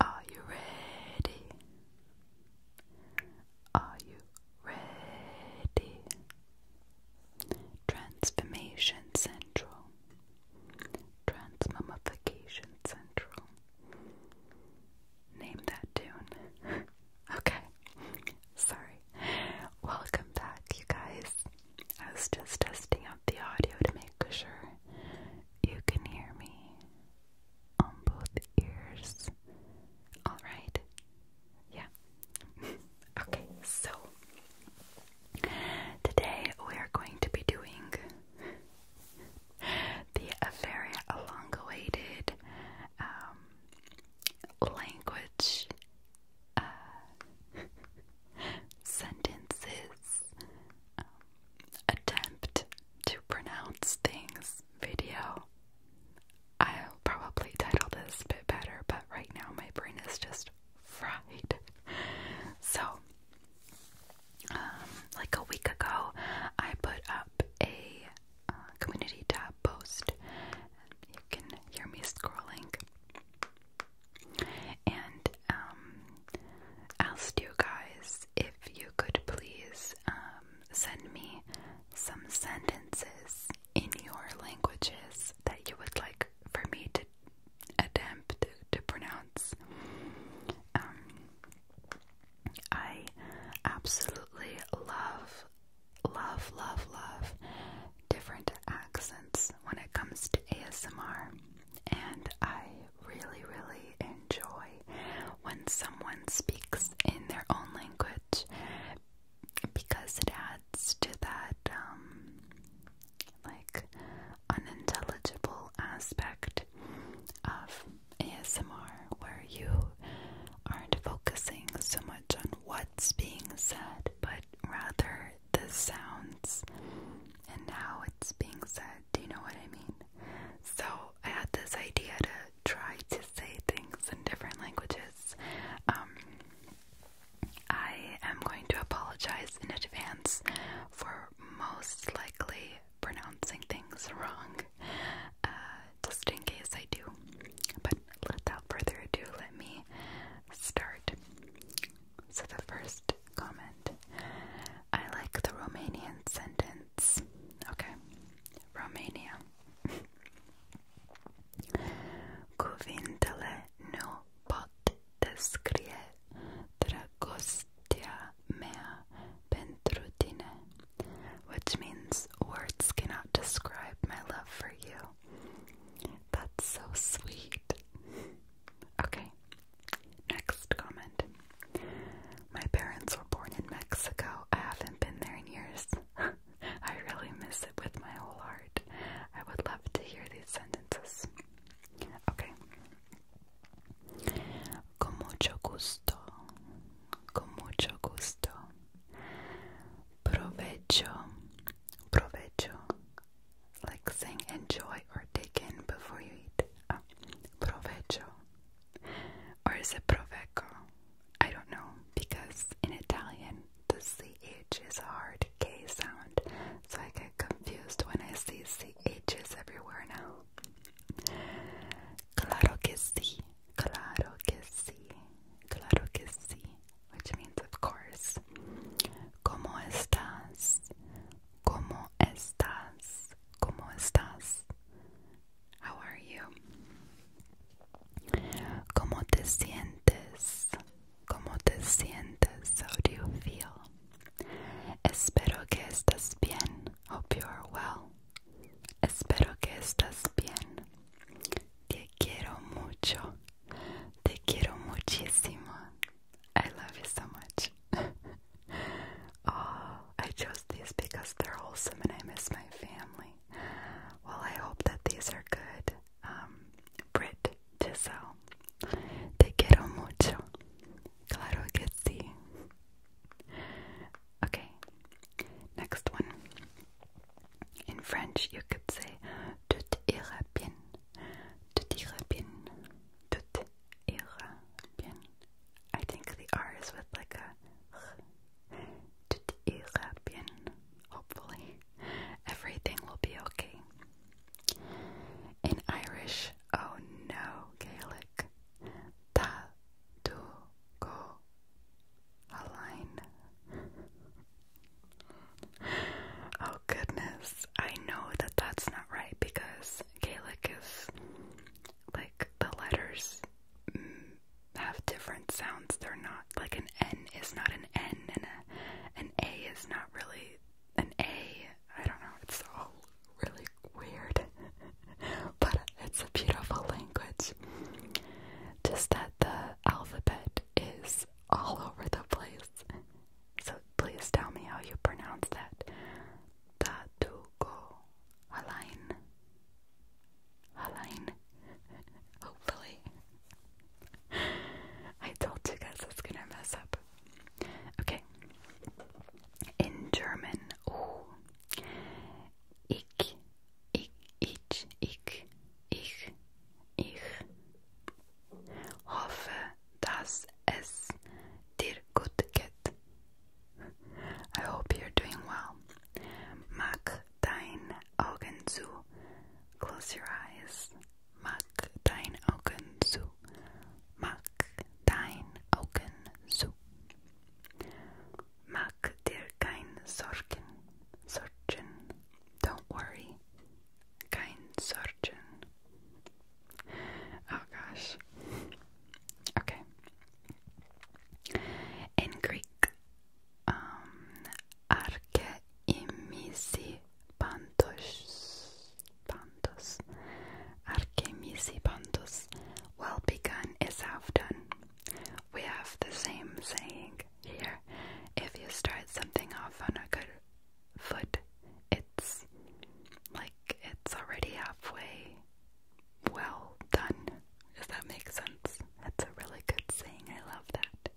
Are you ready? Are you ready? Transformation Central. Transmummification Central. Name that tune. okay. Sorry. Welcome back, you guys. I was just testing out the audio to make make sure you can hear me on both ears. Alright? Yeah. okay, so today we are going to be doing the very long awaited um, language uh, sentences. Um, attempt to pronounce things video. I'll probably title this a bit better, but right now my brain is just fried. So, um, like a week ago, I put up a uh, community tab post. You can hear me scrolling. And um, asked you guys if you could please um, send me some sentences in your languages that you would like for me to attempt to pronounce. Um, I absolutely love, love, love, love different accents when it comes to ASMR, and I really, really enjoy when someone speaks in their own language because it adds to that, um, like, unintelligible aspect of ASMR where you aren't focusing so much on what's being said, but rather the sounds and now it's being said. Do you know what I mean? So I had this idea to try to say things in different languages. Um, I am going to apologize in advance for most likely pronouncing things wrong, uh, just in case I do. But without further ado, let me start. So the first comment I like the Romanian sentence. Okay. Romania. Cuvintele nu pot descrie dragostea mea pentru tine, which means words cannot describe my love for you. That's so sweet. Okay, Next comment. My parents were born in Mexico. I haven't been there in years. I really miss it with my whole heart. I would love to hear these sentences. Okay. Con gusto. Con gusto. Provecho. Provecho like saying enjoy or take in before you eat. Oh, provecho. Or is it proveco? I don't know because in Italian the ch is a hard k sound, so I get confused when I see chs everywhere now. Claro que sí, claro que sí, claro que sí, which means of course. Como estás? ¿Cómo estás? ¿Cómo estás? How are you? ¿Cómo te sientes? ¿Cómo te sientes? How do you feel? Espero que estés bien. Hope you are well. Espero que estés bien. Te quiero mucho. Te quiero muchísimo. I love you so much. oh, I chose these because they're wholesome and I miss my family. Well, I hope that these are good. Um, Brit, Giselle, te quiero mucho. Claro que sí. Okay, next one. In French, you could say tout ira bien. Tout ira bien. Tut ihre bien. I think the R is with like a Tut ihre bien. Hopefully, everything will be okay. In Irish, oh no, Gaelic. Ta do go align. oh goodness, I know that that's not right because Gaelic is like the letters have different sounds. They're not like an N is not an N, and a, an A is not really an A. I don't know. It's all really weird, but it's a beautiful language. Just that the alphabet is all over the place. So please tell me how you pronounce that. Tatugo Halain. Halain. Hopefully. I told you guys I gonna mess up. Okay. In German, oh. Ich, ich, ich, ich, ich, ich hoffe, dass es dir gut geht. I hope you're doing well. Mach deine Augen zu. Close your eyes. Mach deine Augen zu. Mach deine Augen zu. Mach dir keine Sorgen. Don't worry. Kein Sorgen. Oh gosh. Okay. In Greek, um, arche imisi pantos, pantos, arche Well begun is half done. We have the same saying here. If you start something off on a good foot, it's like it's already halfway well done. Does that make sense? That's a really good saying. I love that.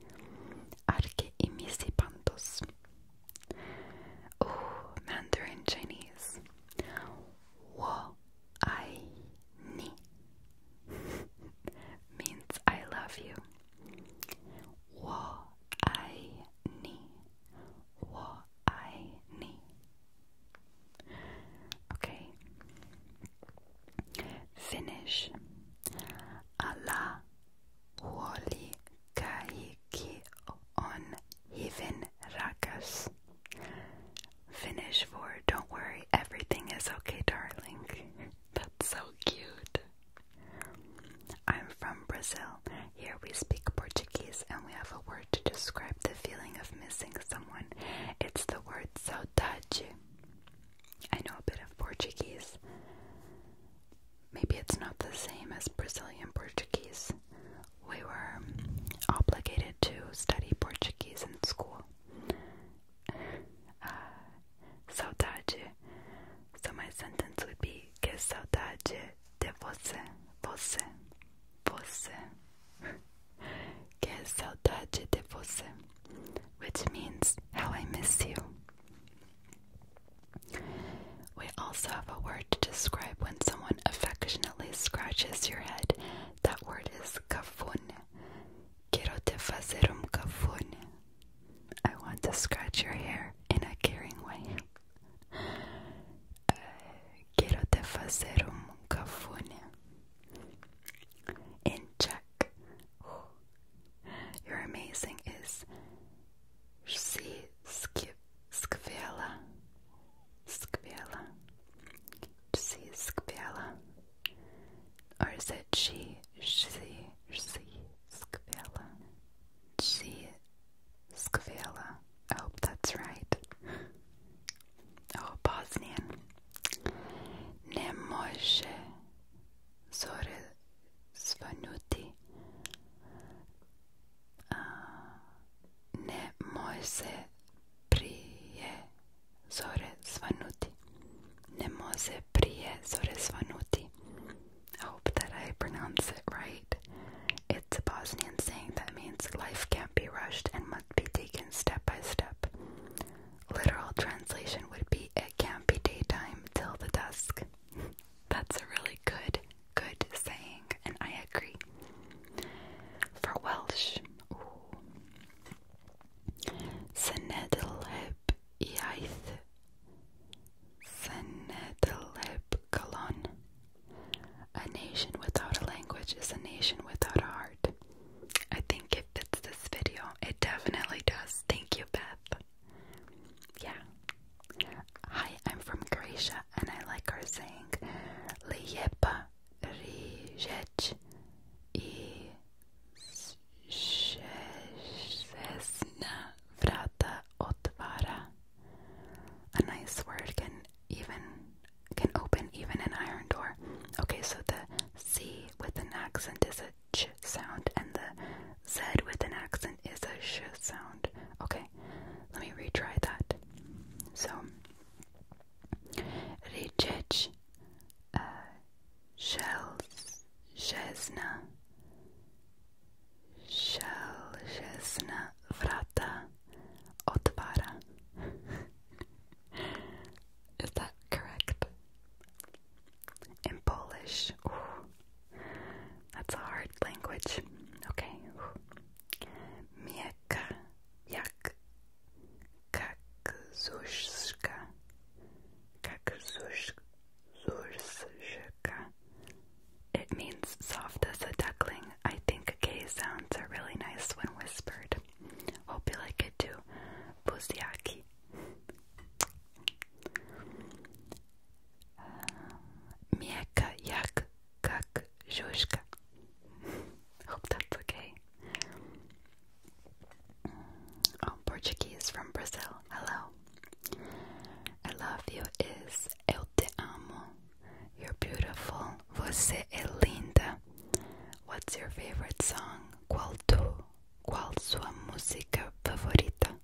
Arke imisi Oh, Mandarin Chinese. Wo ai ni means I love you. Wo ai ni 我爱你. Okay. Finish. Allah wali kaiki on even rakas. Finish for don't worry, everything is okay, darling. That's so cute. I'm from Brazil. Here we speak Portuguese and we have a word to describe the feeling of missing someone. It's the word saudade. I know a bit of Portuguese. Maybe it's not the same as Brazilian Portuguese. We were obligated to study Portuguese in school. Uh, saudade. So my sentence would be que saudade de você, você, você. Que saudade de você. Which means how I miss you. We also have a word to describe when someone affectionately scratches your head. That word is cafone. Quiero te fazer um cafone. I want to scratch your hair in a caring way. Eh, quiero te fazer um cafone in Czech. Oh, you're amazing is si skvěla, skvěla, si skvěla, or is it she, Skvela. I oh, hope that's right. Oh, Bosnia. Ne može zore svanuti. Ne može prije zore svanuti. Ne može prije zore svanuti. I hope that I pronounce it right. It's a Bosnian saying that means life can't be rushed and must be taken step by step. Literal translation would be it can't be daytime till the dusk. That's a really good, good saying, and I agree. For Welsh, Senedlheb iaith. Senedlheb colon. A nation without a language is a nation without a heart. I think it fits this video. It definitely does. Thank you, Beth. Yeah. Hi, I'm from Croatia and I like our saying Lijepa riječ i šesna vrata otvara a nice word can even can open even an iron door. Okay, so the C with an accent is a ch sound and the Z with an accent is a sh sound. Okay, let me retry that. So Richech uh shells Shesna Shell Shesna Vrata Otavara. Is that correct? In Polish. That's a hard language. Okay. Mieka jak kakzuszka. Kakzuszka. It means soft as a duckling. I think K sounds are really nice when whispered. Hope you like it too. Buziaki. Um, Mieka yak kak Hope that's okay. Oh, Portuguese from Brazil. Hello. I love you is El te amo. You're beautiful. Você é linda. What's your favorite song? Qual tu? Qual sua música favorita?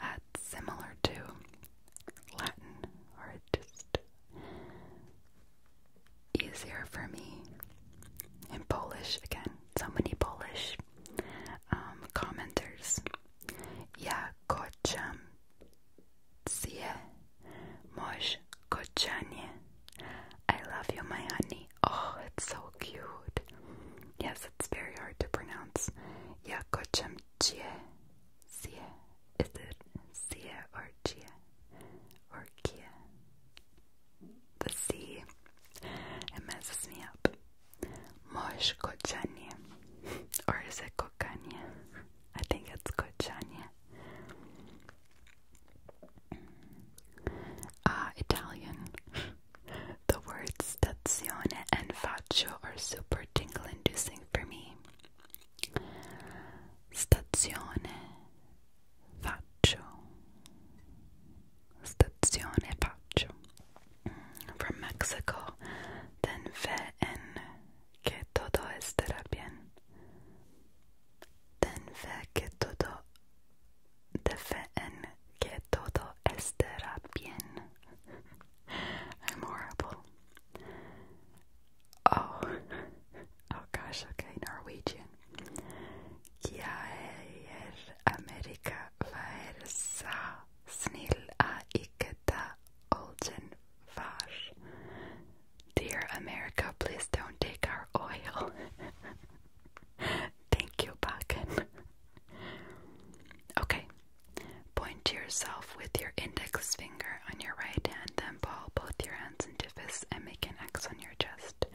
That's similar to Latin, or just easier for me. In Polish, again, so many Polish um, commenters. Yeah, kocham Sia Moj Kochanya. I love you, my honey. Oh, it's so cute. Yes, it's very hard to pronounce. Ya Kocham Chia. Sia. Is it Sia or Chia? Or Kia? The C. It messes me up. Moj Kochanya. Or is it Kokanya? I think it's good, Cocciane. Ah, uh, Italian. the words stazione and faccio are super tingle inducing for me. Stazione, faccio. Stazione, faccio. Mm, from Mexico, then fe and que todo estará bien. Ten fe que todo, de fe en que todo estará bien. I'm horrible. Oh, oh gosh, okay, Norwegian. Gjeir Amerika vær så snill a ikke ta oljen Vash. Dear America, please don't take our oil. Thank you, Bakken. okay. Point to yourself with your index finger on your right hand, then ball both your hands into fists and make an X on your chest.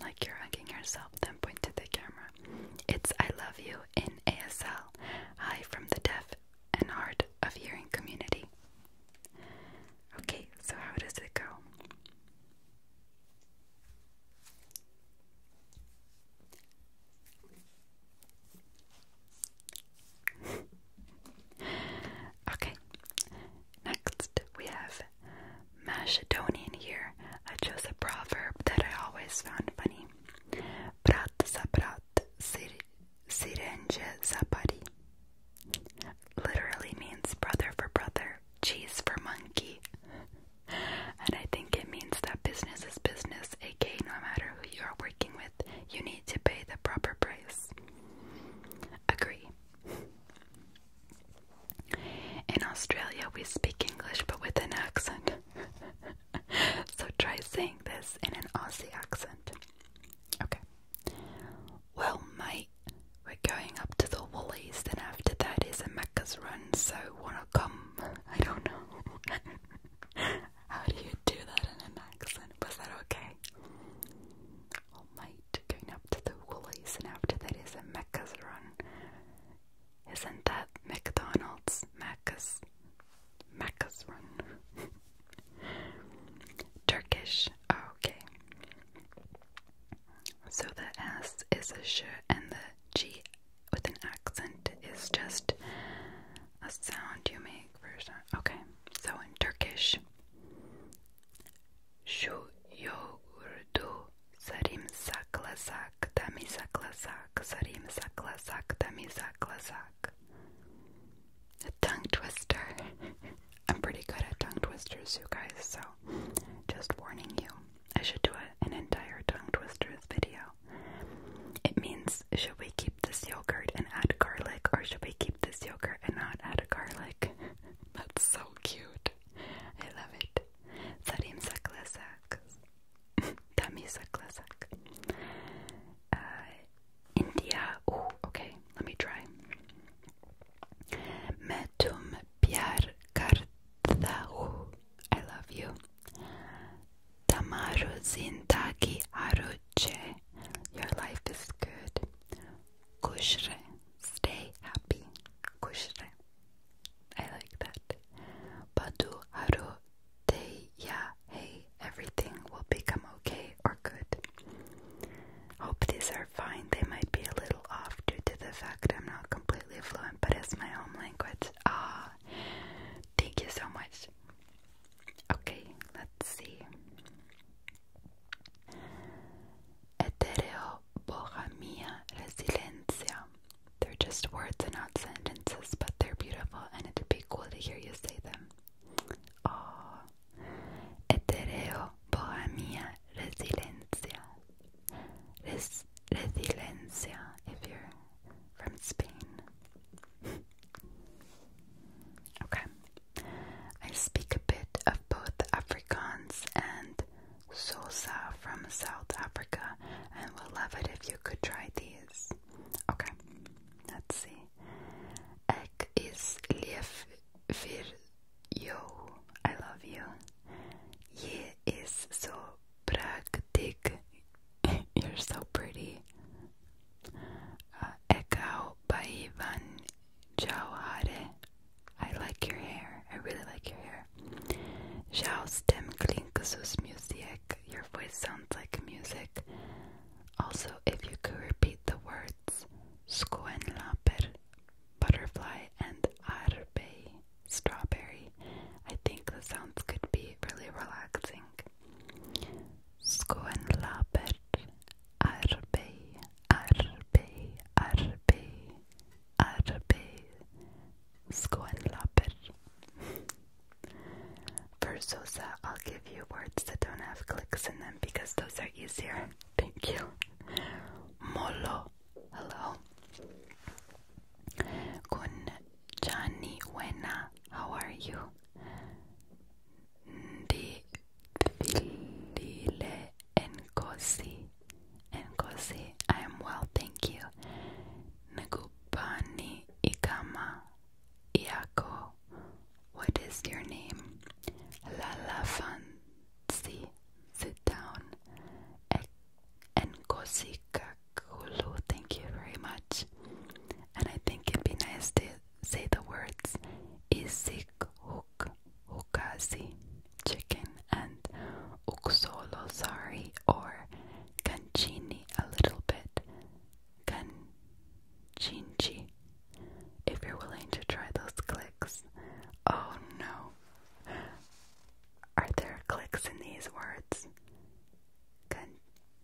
Like you're hugging yourself, then point to the camera. It's I love you in ASL. Hi from the deaf and art of hearing community. Okay, so how does it go? okay, next we have Macedonian here. I chose a proverb that I always found funny. Brat za brat, sir Sirenje Zapari literally means brother for brother, cheese for monkey. and I think it means that business is business, aka no matter who you are working with, you need to pay the proper price. Agree. In Australia, we speak English but with an accent. so try saying this in an Aussie accent. Okay. Well, mate, we're going up to the Woolies, then after that is a Macca's run, so wanna come? I don't know. How do you do that in an accent? Was that okay? Well, oh, mate, going up to the Woolies, and after that is a Macca's run. Isn't that McDonald's? Macca's? Macca's run. Turkish. okay. So the S is a sh and the G with an accent is just a sound you make Okay. So in Turkish, şu yoğurdu sarımsaklasak, damisaklasak, sarımsaklasak, sak a tongue twister. I'm pretty good at tongue twisters, you guys, so just warning you. I should do an entire tongue twisters video. It means should we keep this yogurt and add garlic, or should we keep this yogurt and not add garlic? That's so cute. I love it. Zarim saklesak. Tami saklesak. Uh, India. Oh, okay, let me try. Me tum pyar karta I love you. Tamaru zindagi aruche. Your life is good. Kushre, stay happy. Kushre. I like that. Padu haru te ya hey everything will become okay or good. Hope these are fine. They might be a little off due to the fact I'm not completely fluent, but it's my home language. Ah, thank you so much. Okay, let's see. Etereo bohamia resilencia. They're just words and not sentences, but they're beautiful and it'd be cool to hear you say them. Ah, etereo bohemia resiliencia Res if you're from Spain okay I speak a bit of both Afrikaans and Sosa from South Africa and we'll love it if you could try these okay let's see Ek is lief vir yo. I love you. Je is so praktik. You're so pretty. Uh, Ekao by Van Jauhare. I like your hair. I really like your hair. Stem klinkusus music. Your voice sounds like music. Also, if you could repeat the words, Scoenlaper butterfly and arbei strawberry. I think the sounds could be really relaxing. Scoenlaper arbei arbei arbei arbei Scoenlaper. For Sosa, uh, I'll give a few words that don't have clicks in them because those are easier. Thank you. Molo. Hello. Kun Johnny Wena. How are you? Ndi Dile Nkosi. Nkosi. I am well, thank you. Ngupani Ikama. Iako what is your name? Lala Fancy. Sit down. Enkosi Kakulu. Thank you very much. And I think it'd be nice to say the words Isik Huk chicken and Uksolo sorry or Canchini a little bit. Can Chinchi. If you're willing to try those clicks. Oh no. Are there clicks in these words? Kan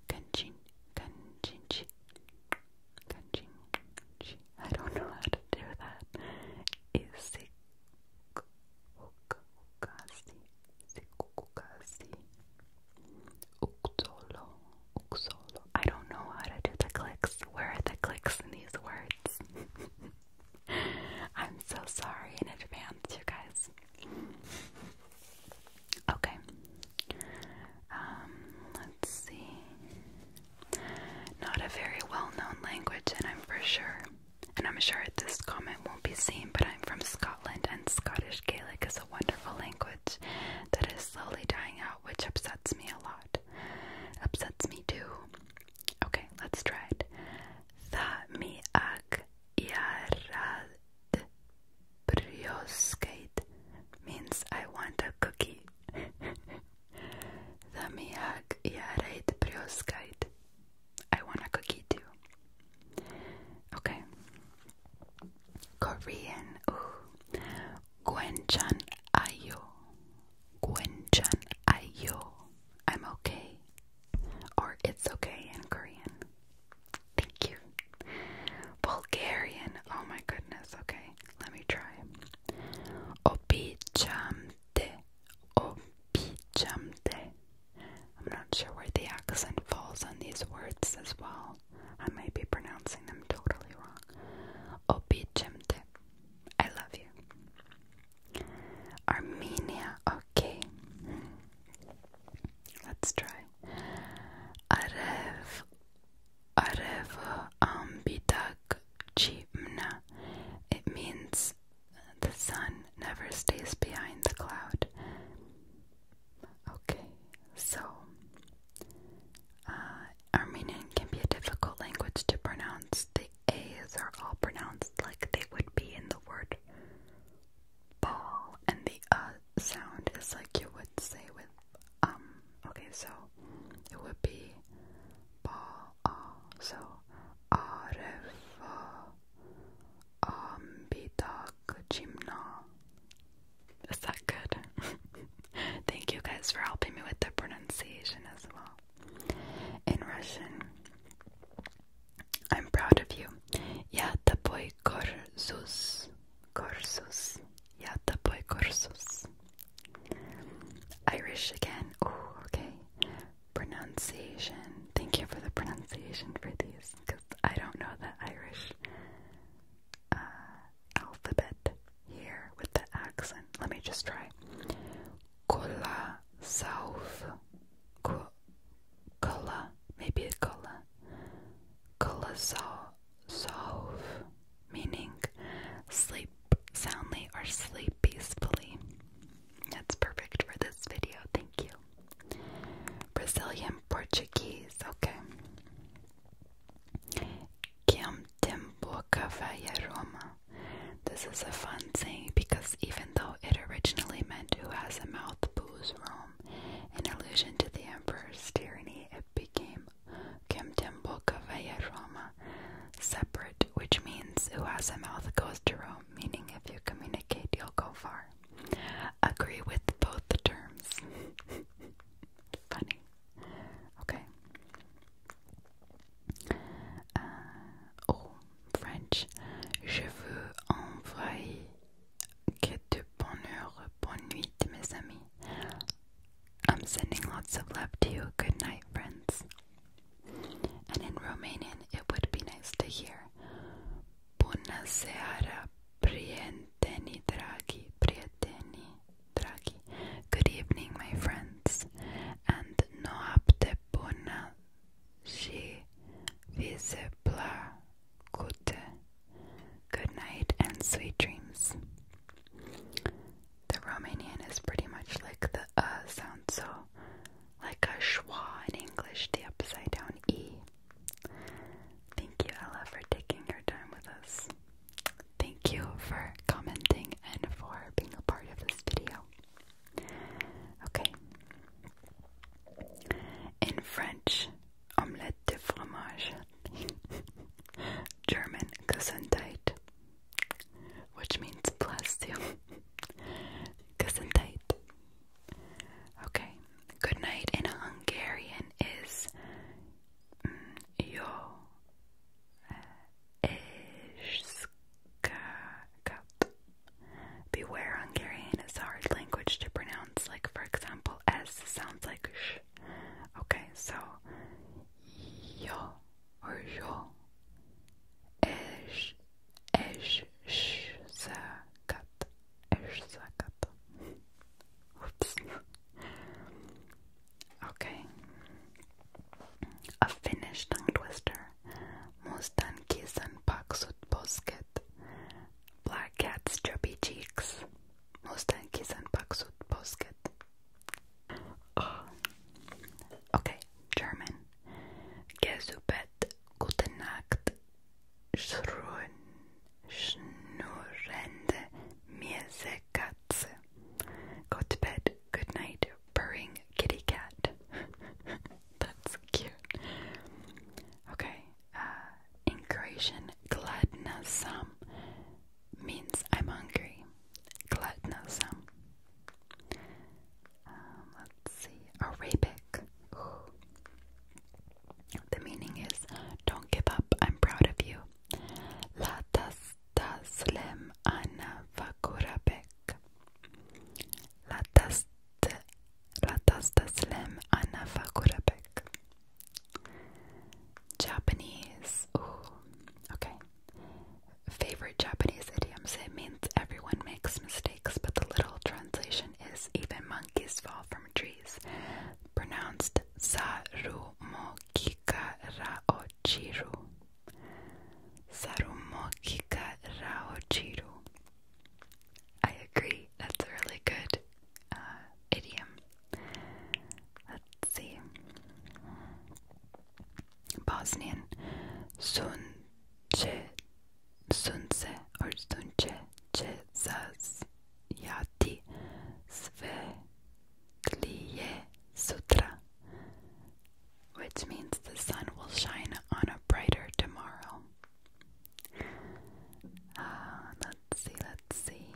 kanchin kanchinchi. Kanchinchi. I don't know how to do that. Isikukasi. Sikukukasi. Uktolo. I don't know how to do the clicks. Where are the clicks in these words? I'm so sorry in advance, you guys. Okay. Um, let's see. Not a very well-known language, and I'm for sure, and I'm sure this comment won't be seen, but I'm from Scotland, and Scottish Gaelic is a wonderful language that is slowly dying out, which upsets me a lot. Upsets me too. Okay, let's try it. Thamiak yarad brioskate means I want a cookie. Thamiak yarad brioskate. I want a cookie too. Okay. Korean. Gwenchan ayo. Gwenchan ayo. I'm okay. Or it's okay in Korean. Thank you. Bulgarian. Oh my goodness. Okay. Let me try. Opichamte. Opichamte. I'm not sure where the accent falls on these words as well. I might be pronouncing them totally wrong. Obijemte. I love you. Armenia, okay. Let's try. Arev Arevo Ambidag um, Chimna. It means the sun never stays behind the cloud. Okay, so uh, Armenian can be a difficult language to pronounce. The A's are all pronounced like they would be in the word ball, and the uh sound is like you would say with um. Okay, so it would be ball, so arefa, ambitak, chimna. Is that good? Thank you guys for helping me with the pronunciation as well. In Russian, I'm proud of you. Yeah, the boy тобой горжусь. Yeah, the boy горжусь. Irish again. Oh, okay. Pronunciation. Thank you for the pronunciation for these because I don't know the Irish. Uh, alphabet here with the accent. Let me just try. Cola south. Cola. Maybe a cola. Cola solve, Meaning sleep soundly or sleep peacefully. That's perfect for this video. Thank you. Brazilian Portuguese. Okay. Kim Timbuca Roma. This is a fun saying because even though it originally meant who has a mouth goes to Rome, in allusion to the emperor's tyranny, it became "kim Kimtimbuca Roma, separate, which means who has a mouth goes to Rome, meaning if you communicate, you'll go far. Agree with both the terms. Funny. Okay. Euh, oh, French. Je veux envoyer que de bonheur, bonne nuit, mes amis. I'm sending lots of love to you. Good night, friends. And in Romanian, it would be nice to hear. Bună seara, prieteni dragi, prieteni. Draghi. Good evening, my friends, and noapte bună și vise plăcute. Good night and sweet dreams. The Romanian is pretty much like the uh sound, so like a schwa in English, the upside down e. Thank you, Ella, for taking your time with us. Thank you for commenting and for being a part of this video. Okay. In French, omelette de fromage. German, Gesundheit, which means bless you. Gesundheit. Okay. Good night in Hungarian is jag eh, Cup. Beware, Hungarian is a hard language to pronounce. Like, for example, S sounds like sh. Okay, so yo or yo. Esh, esh, sh, Oops. Okay. A Finnish tongue twister. Mustan kisan paksut posket. Black cat's chubby cheeks. Mustan kisan paksut posket. Oh. Okay, German. Gesubet gute Nacht. Schrun schnurrende Mirse like Go to bed, good night, purring kitty cat. That's cute. Okay, uh, in Croatian, gladna sam means I'm hungry. Gladna sam. Um, let's see, Arabic. The meaning is, don't give up, I'm proud of you. لا تستسلم أن فكر بك لا, تست... لا تستسلم أن فكر بك Japanese Ooh. okay favorite Japanese idioms it means everyone makes mistakes but the literal translation is even monkeys fall from trees pronounced saru mo kikara ochiru Sarumokika Raojiru. I agree, that's a really good uh, idiom. Let's see. Bosnian Sunce Sunce or Sunce Cezas Yati Sve Tliye Sutra, which means the sun will shine on a brighter tomorrow. Ah, let's see, let's see.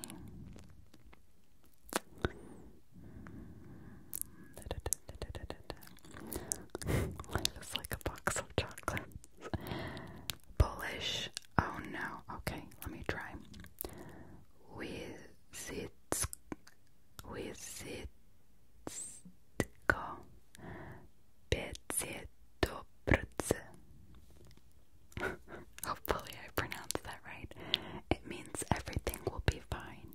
Mmm, Life like a box of chocolates. Polish. Oh no. Okay, let me try. With sits with sitko Hopefully I pronounced that right. It means everything will be fine.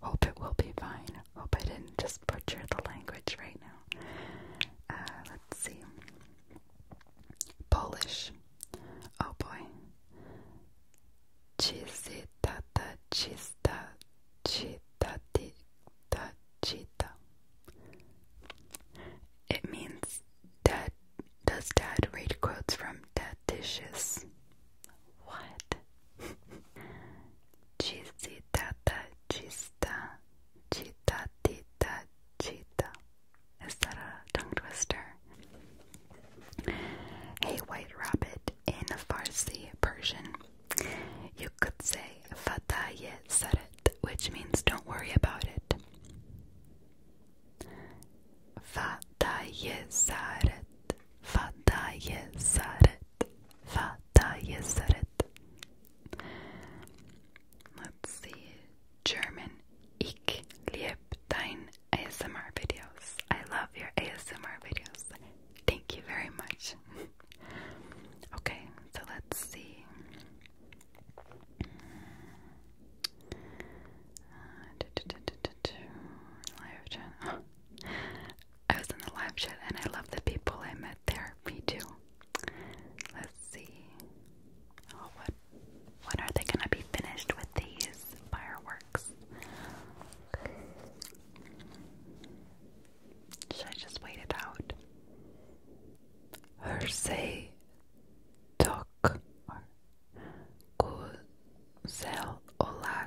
Hope it will be fine. Hope I didn't just butcher the language right now. Uh, let's see. Polish. Oh boy. Chisitata chista chitatita chita. It means dad does dad read quotes from dad dishes? What? Chisitata chista chitatita chita. Is that a tongue twister? A white rabbit in Farsi Persian. You could say Fataye Saret, which means don't worry about it. Fataye Saret, Fataye Saret, Fataye Saret. Let's see. German. Ich lieb dein ASMR videos. I love your ASMR videos. Thank you very much. okay, so let's see. Live chat. I was in the live chat and I love the people I met there. Me too. Let's see. Oh, what what are they gonna be finished with these fireworks? Should I just wait it out? Hersey tok Guzel Olacak.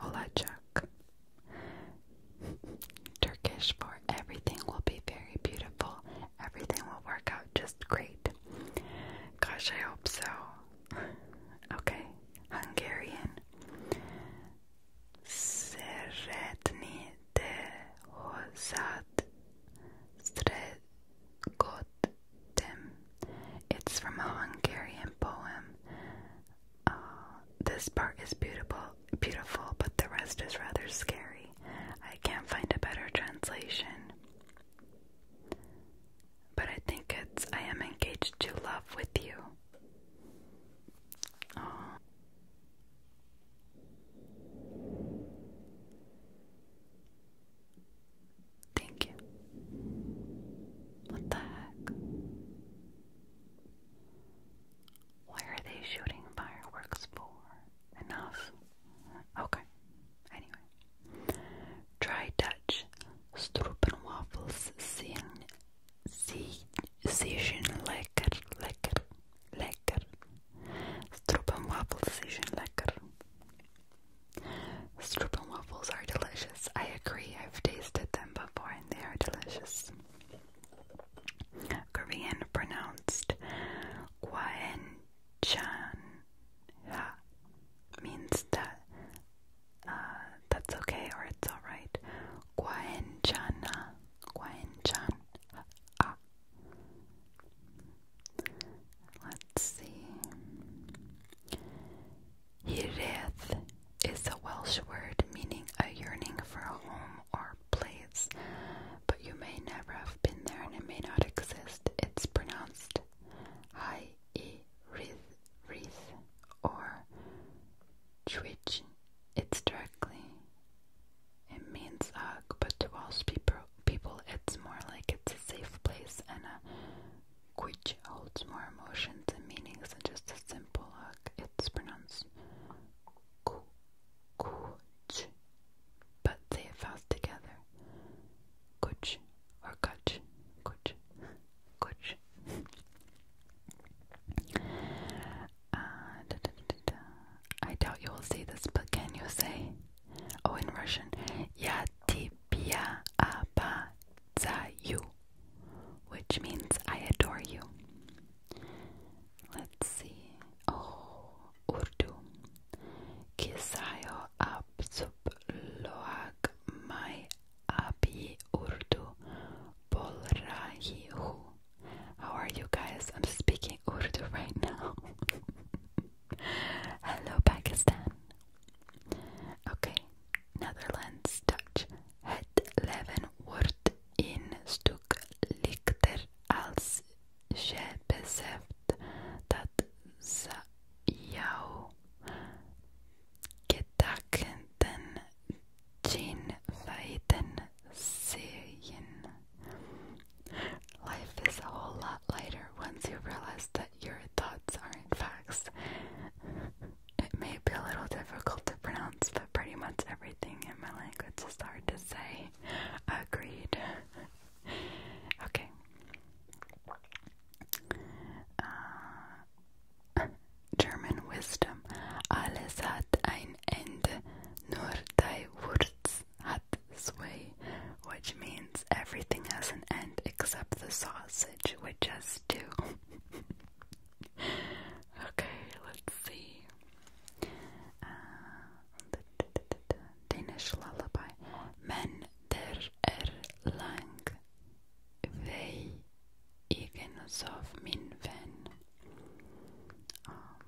Olacak. Turkish for everything will be very beautiful. Everything will work out just great. Gosh, I hope so. Okay, Hungarian. Szeretni te hozzád Sredgotem. It's from a Hungarian poem. Uh, this part is beautiful, beautiful, but the rest is rather scary. I can't find a better translation. But I think it's I am engaged to love with you. Oh. Thank you. What the heck? Why are they shooting fireworks for? Enough. Okay. Anyway. Try Dutch. Stroopwafels zien, zien lekker, lekker, lekker. Stroopwafels zien lekker. Stroopwafels are delicious. I agree. I've tasted them before and they are delicious. Korean pronounced Kwaan Chan Ha means that uh, that's okay or it's alright. Guan Chan Ha. Chan Ha. Let's see. Hireth is a Welsh word meaning a yearning for a home or place, but you may never have been there and it may not exist. It's pronounced Hi i wreath, wreath or twitch. It's directly it means ugh, but to Welsh people, people it's more like it's a safe place and a quich holds more emotions and meanings than just a simple ugh. It's pronounced ku, but say it fast together. Kuch or Kutch, Kuch, Kuch. Uh, I doubt you will see this, but can you say? Oh, in Russian, ya za you," which means I adore you. Let's see. Oh, Urdu, kisayo absub loag mai abi urdu bolrahihu. How are you guys? I'm speaking Urdu right now. Hello, Pakistan. Okay, Netherlands, Dutch. Het leven wordt in stuk lichter als je beseft dat ze jou Life is a whole lot lighter once you realize that your thoughts aren't facts. It may be a little difficult to pronounce, but pretty much everything in my language is hard to say. Agreed. okay. Uh, German Wisdom. Alles hat ein Ende, nur die Wurz hat zwei, which means everything has an end except the sausage, which has two. okay, let's see. Uh, Danish lullaby. Men der erlang wij egen of min ven. Ah,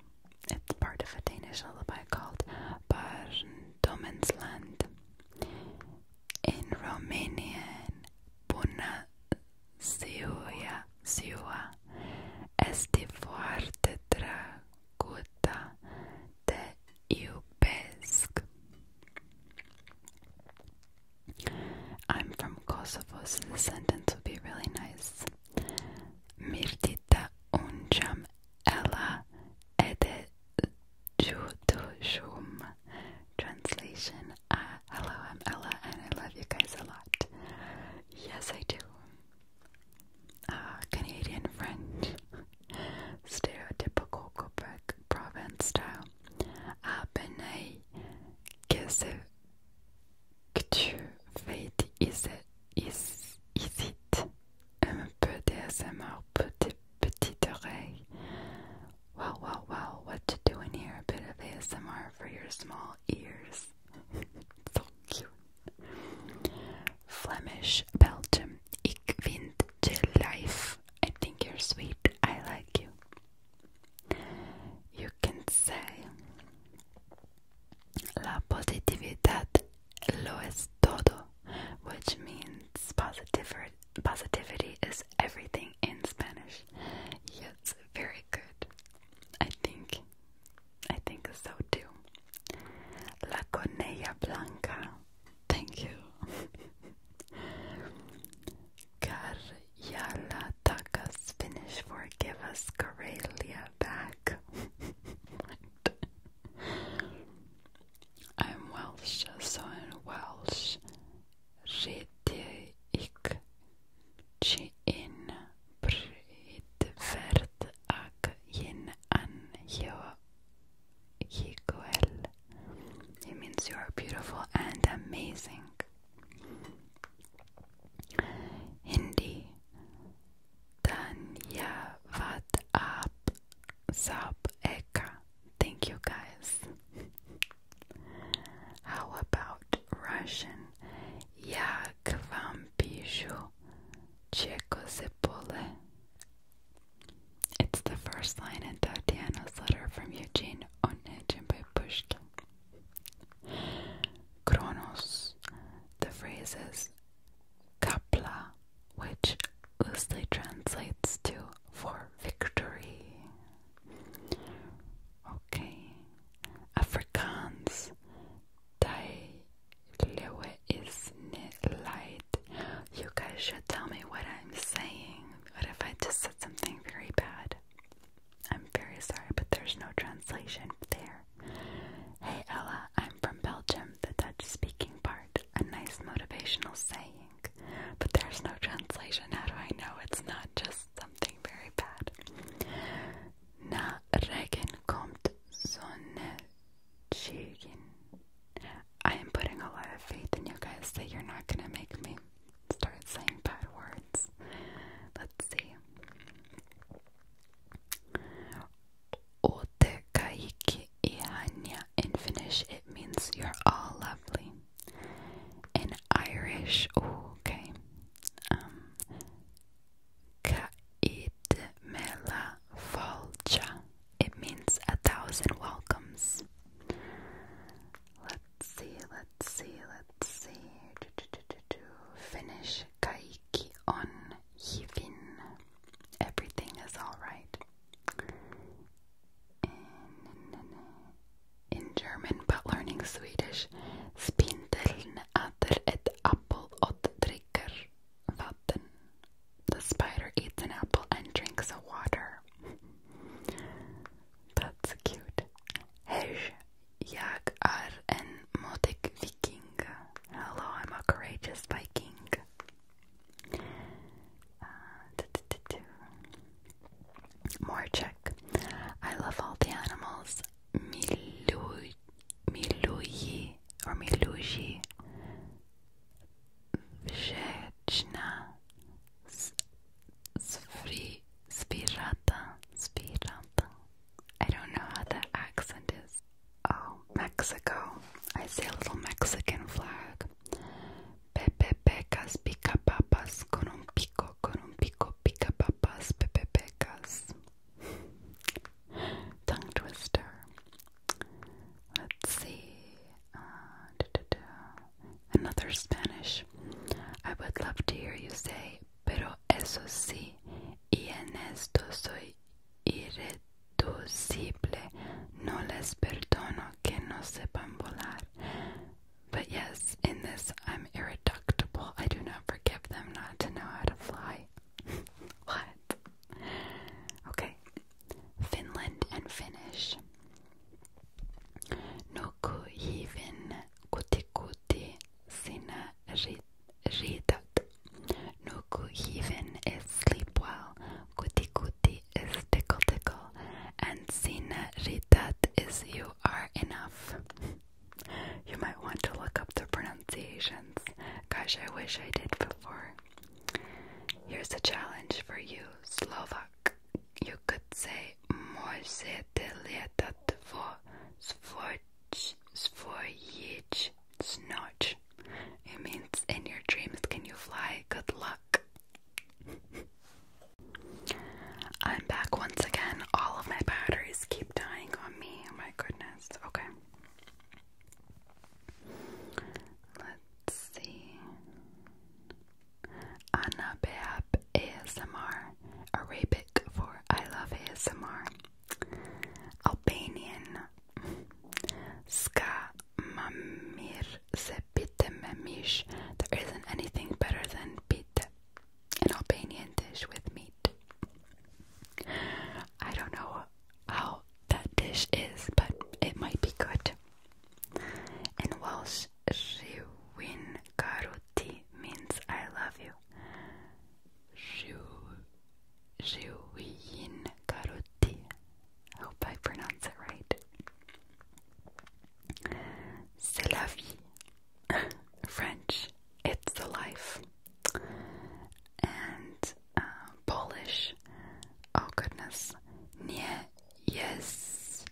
it's part of a Danish lullaby called Land." In Romanian, Buna Ziua, Ziua este foarte draguta de Iubisk. I'm from Kosovo, so the sentence would be really nice. Mirtita unjam ella ede judushum. Translation, uh, hello, I'm Ella and I love you guys a lot. Yes, I do. Uh, Canadian French stereotypical Quebec province style. Abney qu'est-ce que tu fais is it, is, is it? Un peu d'ASMR, petite, petite oreille. Wow, wow, wow, what you doing here? A bit of ASMR for your small ears. so cute. Flemish, Belgium. Ik vind je life I think you're sweet. I like you. You can say La positividad lo es todo, which means positivity is everything in Spanish. Yes, very good. I think I think so too. La conella blanca Thank you. Karjala took us Finnish for us Karelia back. I'm Welsh, so in Welsh, Rydde ik in Bridvert ak yin an Hikoel. It means you are beautiful and amazing. Hindi Tanya Vat Ab Sab Eka. Thank you guys. How about Russian? Jak vam pišu, čeko se pole it's the first line in Tatiana's letter from Eugene Onegin by Pushkin. Kronos, the phrase is kapla, which loosely translates to for victory. Okay. Afrikaans, Dai lewe is not light. You guys should tell me what I'm saying. What if I just said something very bad? I'm very sorry, but there's no translation there. Hey Ella, I'm from Belgium, the Dutch speaking part. A nice motivational saying. But there's no translation. How do I know it's not just something very bad? Na Regen kommt Sonne. I am putting a lot of faith in you guys that you're not gonna make me start saying bad words. Let's see. Otekaiki ihanya. In Finnish, it means you're all lovely. In Irish, okay. Um, Kaitmela Falcha it means a thousand welcomes. Let's see, let's see, let's see. Do, do, do, do, do. Finish kaiki on hivin. Everything is alright. In German, but learning Swedish, spindeln äter ett apple vatten. The spider eats an apple and drinks a water. That's cute. Hej, jag är en modig viking. Hello, I'm a courageous viking. Uh, More Czech. I love all the animals. Miluji or Miluji. Wdzięczna Sfri Spirata I don't know how that accent is. Oh, Mexico. I see a little Mexican flag. Pepe pecas pica papas con un pico con un pico pica papas pepe pecas. Tongue twister. Let's see. Uh, Another Spanish. I would love to hear you say, pero eso sí, y en esto soy irreducible. No les perdono que no sepan volar. But yes, in this I'm irreducible. I do not forgive them not to know how to fly. what? Okay, Finland and Finnish. Nuku hivin kutikuti sina ridat. Nuku hivin is sleep well, kutikuti is tickle tickle, and sina ridat is you are enough. You might want to look up the pronunciations. Gosh, I wish I did before. Here's a challenge for you, Slovak you could say Мозе лето тво своїч сноч. It means in your dreams can you fly? Good luck. I'm back once again. All of my batteries keep dying on me. Oh my goodness. Okay. Let's see. Anna Beab ASMR, Arabic for I love ASMR, Albanian, Ska Mamir Se Pite There isn't anything better than pite, an Albanian dish with meat. I don't know how that dish is, but it might be good. In Welsh, Shiwin Karuti means I love you. Shiwin I Hope I pronounce it right. C'est la vie. French, it's the life. And uh, Polish, oh goodness, nie Yes.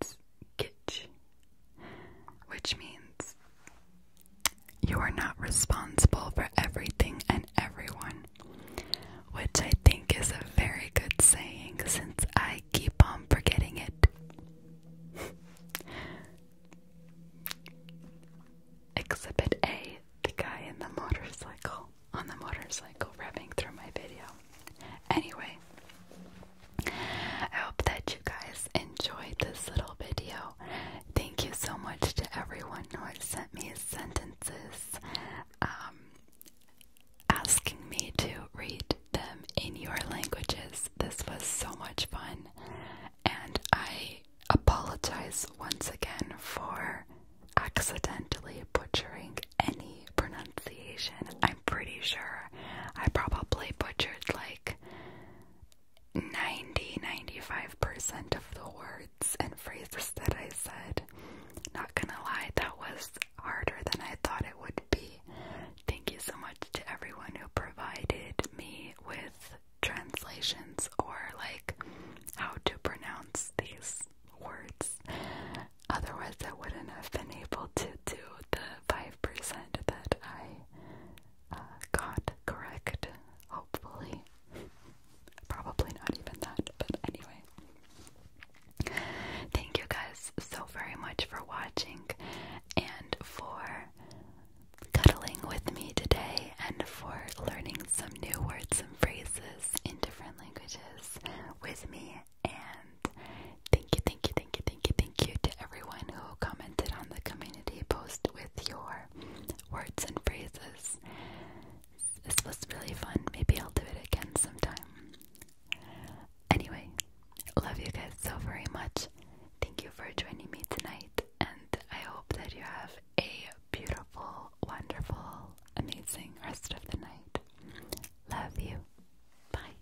words which means you are not responsible for everything and everyone, which I think is a very good saying since I keep on forgetting it. Exhibit A the guy in the motorcycle, on the motorcycle, revving through my video. Anyway, I hope that you guys enjoyed this little video. Thank you so much to everyone who has sent me sentences um, asking me to read them in your languages. This was so much fun, and I apologize once again for accidentally butchering any pronunciation. I'm pretty sure I probably butchered like 90 percent of the words and phrases that I said. Not gonna lie, that was harder than I thought it would be. Thank you so much to everyone who provided me with translations or like how to pronounce these words. Otherwise, I wouldn't have been able to do the 5% that I uh, got correct, hopefully. Probably not even that, but anyway. Thank you guys so very much for watching and for cuddling with me today and for learning some new words and phrases in different languages with me. And Thank you, thank you, thank you, thank you, thank you to everyone who commented on the community post with your words and phrases. This was really fun. Maybe I'll do it again sometime. Anyway, love you guys so very much. Thank you for joining me tonight, and I hope that you have a beautiful, wonderful, amazing rest of the night. Love you. Bye.